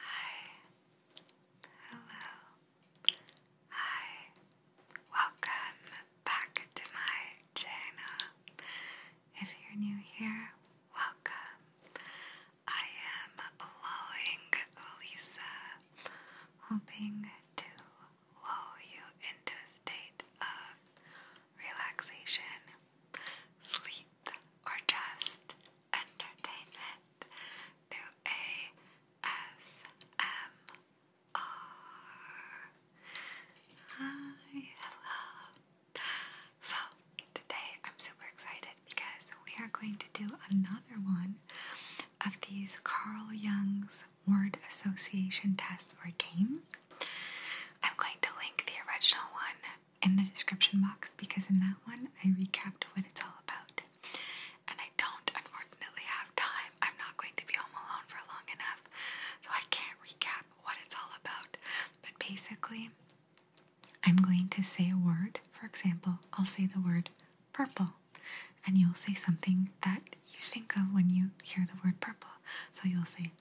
Hi. Hello. Hi. Welcome back to my channel. If you're new here, welcome. I am lowing Lisa, hoping to lull you into a state of relaxation, sleep, or just entertainment through ASMR. Hi, hello. So, today I'm super excited because we are going to do another one of these Carl Jung's word association tests or games. I'm going to link the original one in the description box because in that one I recapped what it's all about. And I don't, unfortunately, have time. I'm not going to be home alone for long enough, so I can't recap what it's all about. But basically, I'm going to say a word. For example, I'll say the word purple, and you'll say something that you think of when you hear the word purple. So you'll say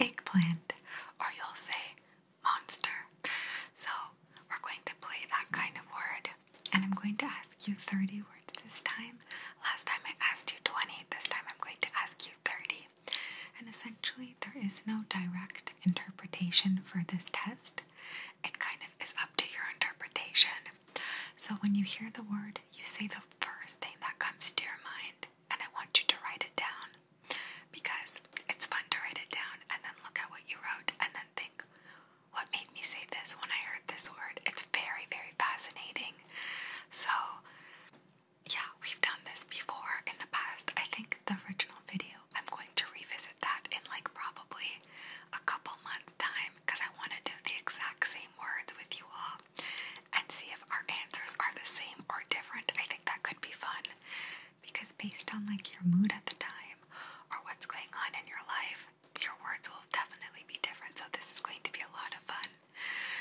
eggplant, or you'll say monster. So we're going to play that kind of word. And I'm going to ask you 30 words this time. Last time I asked you 20, this time I'm going to ask you 30. And essentially, there is no direct interpretation for this test. It kind of is up to your interpretation. So when you hear the word, you say the first thing that comes to your mind, and I want you to write it down because it's fun to write it down and then look at what you wrote and then think, what made me say this when I heard this word? It's very, very fascinating. So, yeah, we've done this before in the past. I think the original video, I'm going to revisit that in like probably a couple months' time because I want to do the exact same words with you all and see if our answers are the same or different. I think that could be fun because based on like your mood at the time or what's going on in your life, your words will definitely be different. So this is going to be a lot of fun.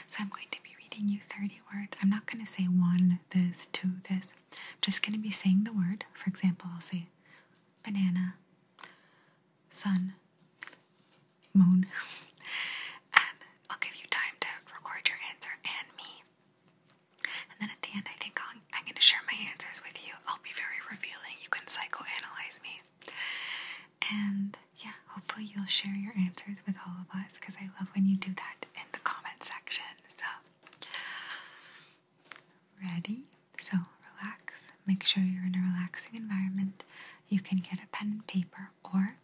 So I'm going to be reading you 30 words. I'm not going to say one, this, two, this. I'm just going to be saying the word. For example, I'll say banana, sun, moon. and I'll give you time to record your answer and me and then at the end, I think i am going to share my answers with you. I'll be very revealing. You can psychoanalyze me. And yeah, hopefully, you'll share your answers with all of us because I love when you do that in the comment section. So, ready? So, relax. Make sure you're in a relaxing environment. You can get a pen and paper or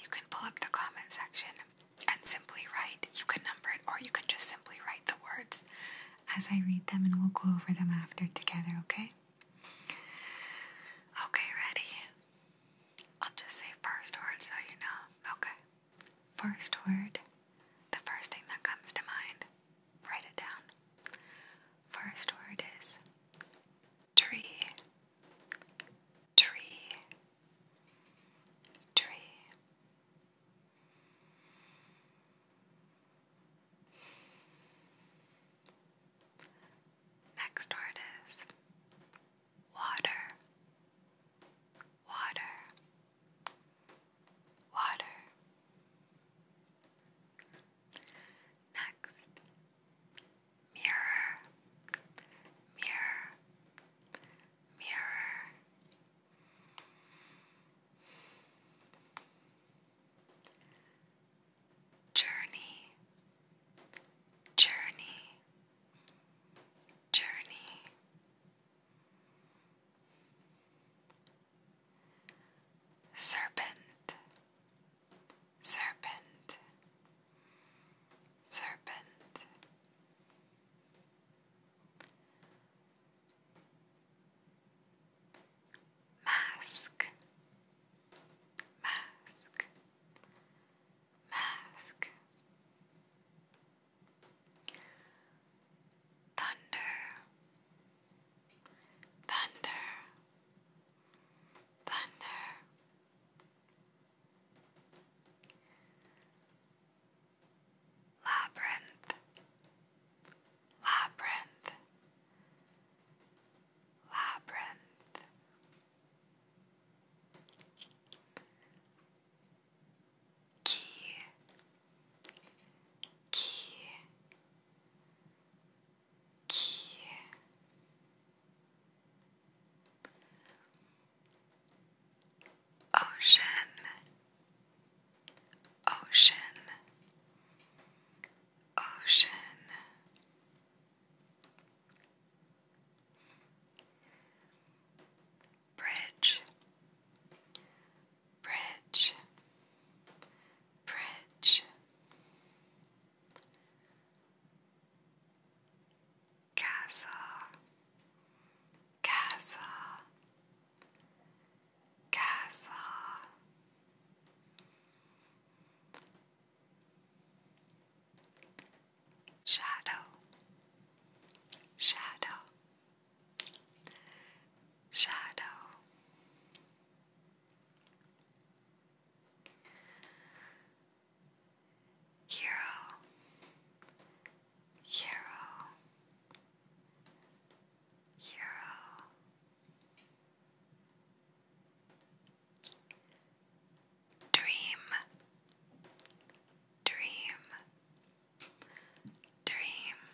you can pull up the comment section and simply write. You can number it, or you can just simply write the words as I read them, and we'll go over them after together, okay? Okay, ready? I'll just say first word so you know. Okay. First word, the first thing that comes to mind. Write it down. First word is tree, tree, tree. Next word is water, water, water. Next, mirror, mirror, mirror. Journey, journey, journey. Serpent, serpent, serpent. Mask, mask, mask. Thunder, thunder, thunder. Labyrinth, labyrinth, labyrinth. Key, key, key. Ocean, ocean, ocean. Bridge, bridge, bridge casa casa casa shadow shadow shadow hero, hero, hero. Dream, dream, dream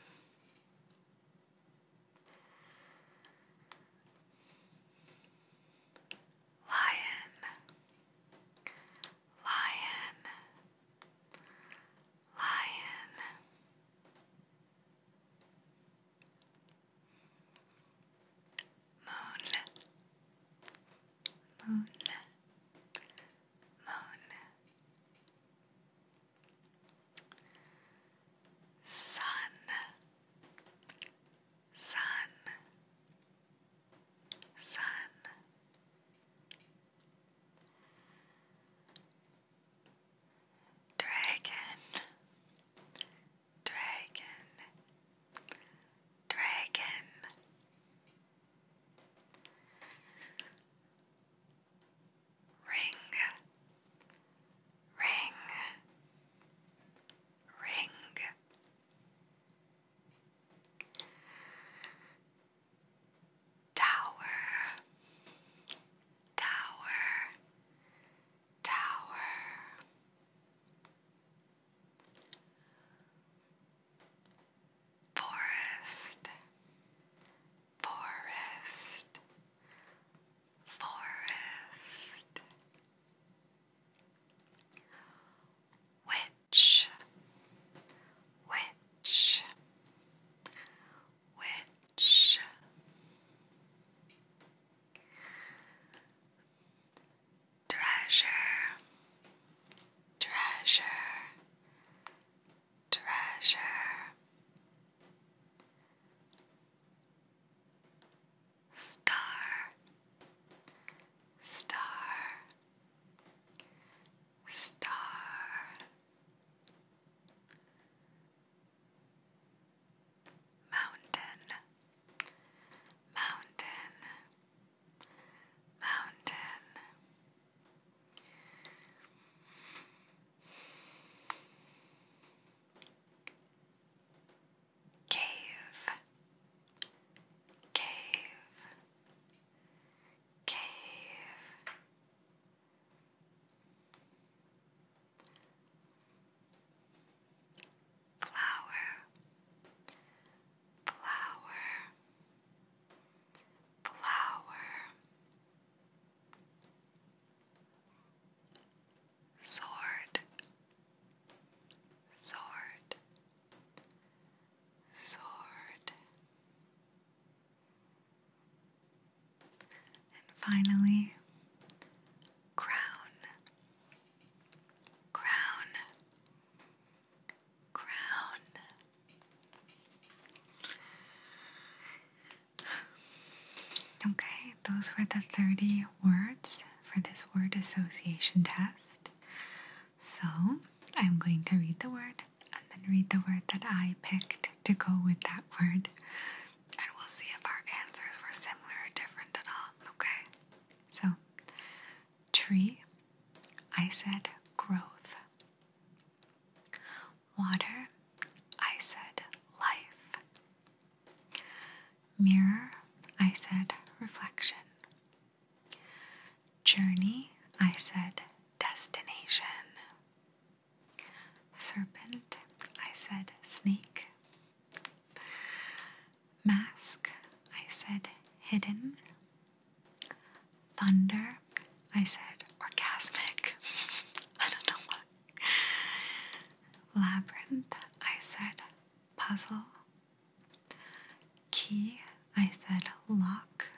lion, lion, lion. Moon, moon, moon. Sun, sun, sun. Dragon, dragon, dragon. Ring, ring, ring. Tower, tower, tower. Forest, forest, forest. Which, which, which treasure, treasure, treasure. Star, star, star. Mountain, mountain, mountain. Cave, cave, cave, flower, flower, flower sword, sword, sword. And finally, crown, crown, crown. Okay, those were the 30 words for this word association test. So I'm going to read the word and then read the word that I picked to go with that word. And we'll see if our answers were similar or different at all. Okay? So, tree, I said growth water. I said life. Mirror. I said reflection. Journey. I said destination. Serpent. I said snake. Mask. I said hidden. Thunder. I said orgasmic. I don't know why Labyrinth, I said puzzle. Key, I said lock.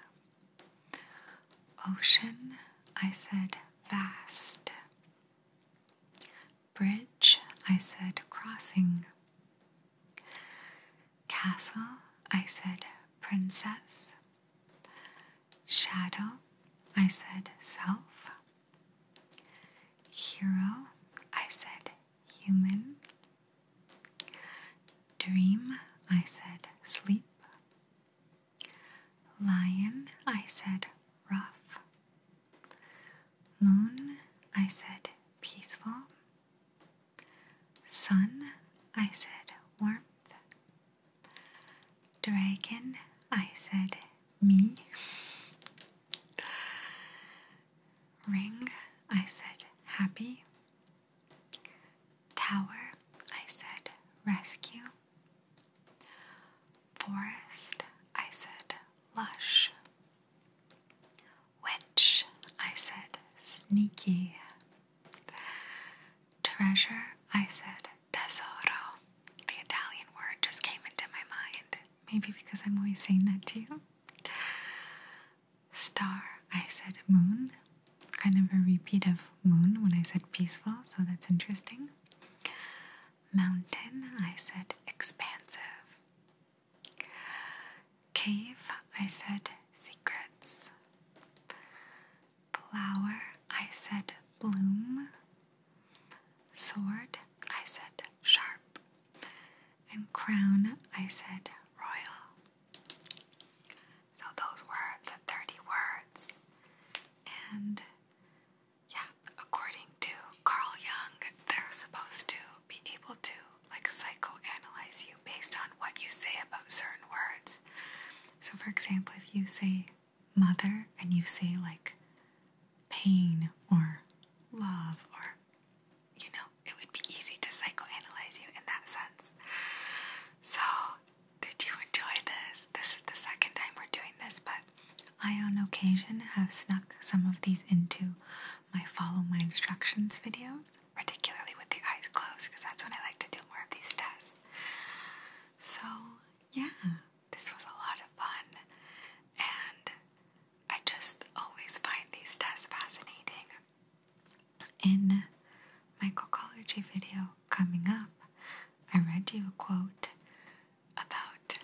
Ocean, I said vast. Bridge, I said crossing. Castle, I said princess. Shadow, I said self. Hero, I said human. Dream, I said sleep. Lion, I said rough. Moon, I said peaceful. Sun, I said warmth. Dragon, I said me. Ring, I said happy. Tower, I said rescue. Forest, I said lush. Witch, I said sneaky. Treasure, I said tesoro, the Italian word, just came into my mind. Maybe because I'm always saying that to you. Star, I said moon. Kind of a repeat of moon when I said peaceful, so that's interesting. Mountain, I said expansive. Cave, I said secrets. Flower, I said bloom. Sword, I said sharp. And crown, I said royal. So those were the 30 words. And yeah, according to Carl Jung, they're supposed to be able to like psychoanalyze you based on what you say about certain words. So, for example, if you say mother and you say like pain or love, or you know, it would be easy to psychoanalyze you in that sense. So, did you enjoy this? This is the second time we're doing this, but I on occasion have snuck some of these into my follow my instructions videos, particularly with the eyes closed, because that's when I like to do more of these tests. So, yeah, this was a lot of fun, and I just always find these tests fascinating. In my College video coming up, I read you a quote about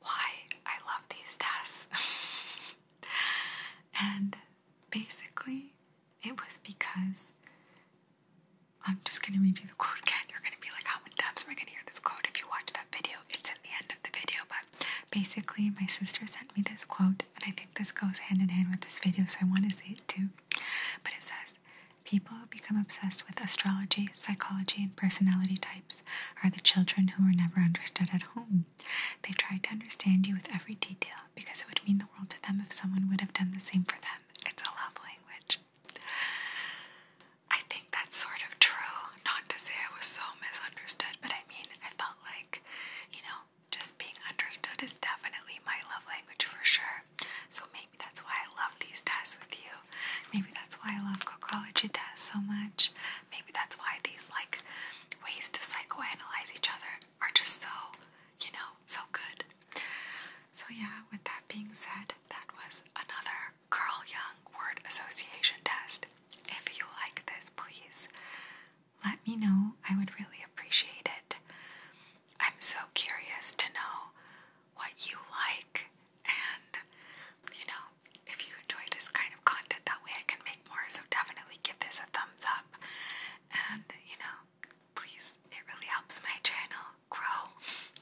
why I love these tests. and basically, it was because I'm just gonna read you the quote again. You're gonna be like, how many times am I gonna hear this quote if you watch that video? It's in the end of the video, but basically, my sister sent me this quote, and I think this goes hand in hand with this video, so I wanna say it too. But it says, People who become obsessed with astrology, psychology, and personality types are the children who were never understood at home. They try to understand you with every detail, because it would mean the world to them if someone would have done the same for them. It's a love language. I think that's sort of true. Not to say I was so misunderstood, but I mean, I felt like, you know, just being understood is definitely my love language for sure. So maybe that's why I love these tests with you. Maybe that's why I love cocology tests so much. Maybe that's why these, like, ways to psychoanalyze each other are just so, you know, so good. So, yeah, with that being said, that was another Carl young word association test. If you like this, please let me know. I would really appreciate it. I'm so curious to know what you like, and you know, if you enjoy this kind of content, that way I can make more. So, definitely give this a thumbs up and you know, please, it really helps my channel grow.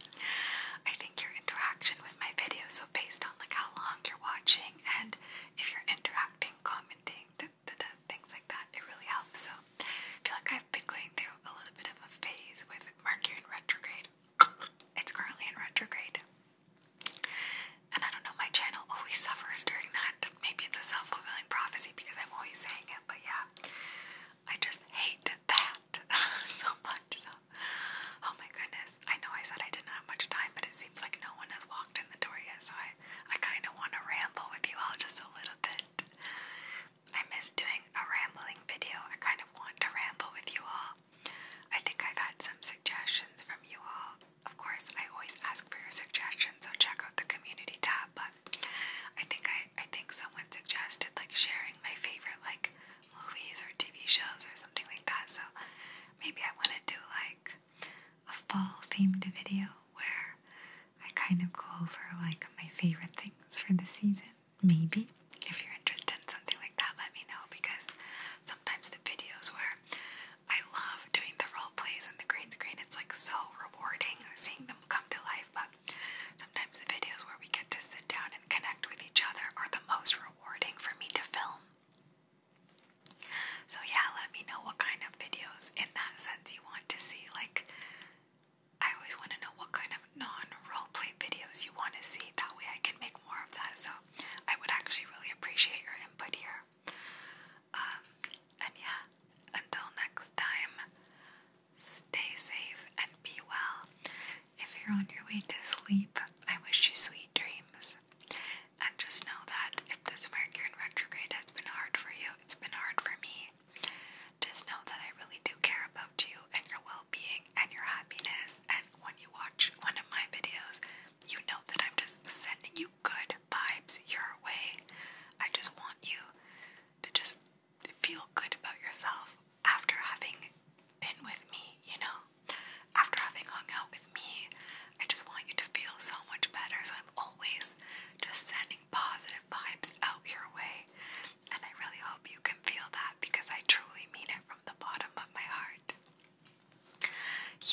I think your interaction with my videos, so based on like how long you're watching and if you're interacting, commenting, th th th things like that, it really helps. So I feel like I've been going through a little bit of a phase with Mercury in retrograde. it's currently in retrograde. And I don't know, my channel always suffers during that. Maybe it's a self fulfilling prophecy because I'm always saying it, but yeah, I just hate that so much. oh my goodness. I know I said I didn't have much time, but it seems like no one has walked in the door yet, so I, I kind of want to ramble with you all just a little bit. I miss doing a rambling video. I kind of want to ramble with you all. I think I've had some suggestions from you all of course, I always ask for your suggestions, so check out the community tab. But I think I, I think someone suggested like sharing my favorite like movies or TV shows or something like that. So maybe I want to do like a fall themed video where I kind of go over like my favorite things for the season. Maybe if you're interested in something like that, let me know because sometimes the videos where I love doing the role plays and the green screen. It's like so rewarding seeing them come to life. But sometimes the videos where we get to sit down and connect with each other are the most rewarding for me to film. So yeah, let me know what kind of videos in that sense you want to see. Like I always want to know what kind of non role play videos you want to see. That way I can make more of that. So I would actually really appreciate your input here. Um, and yeah, until next time, stay safe and be well. If you're on your way to sleep, I wish you sweet dreams. And just know that if this Mercury in retrograde has been hard for you, it's been hard for me. Just know that I really do care about you and your well being and your happiness. And when you watch one of my videos, you know that I'm just sending you good vibes your way. I just want you to just feel good about yourself after having been with me, you know? After having hung out with me, I just want you to feel so much better. So I'm always just sending positive vibes out your way. And I really hope you can feel that because I truly mean it from the bottom of my heart.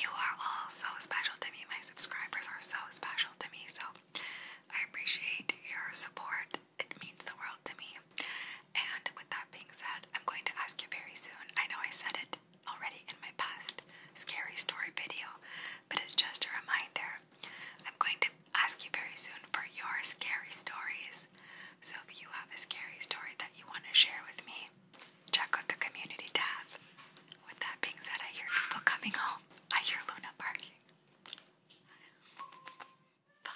You are all so special to me. My subscribers are so special to me. So I appreciate your support. It means the world to me. And with that being said, I'm going to ask you very soon. I know I said it already in my past scary story video, but it's just a reminder. I'm going to ask you very soon for your scary stories. So if you have a scary story that you want to share with me, check out the community tab. With that being said, I hear people coming home. I hear Luna barking. Bye.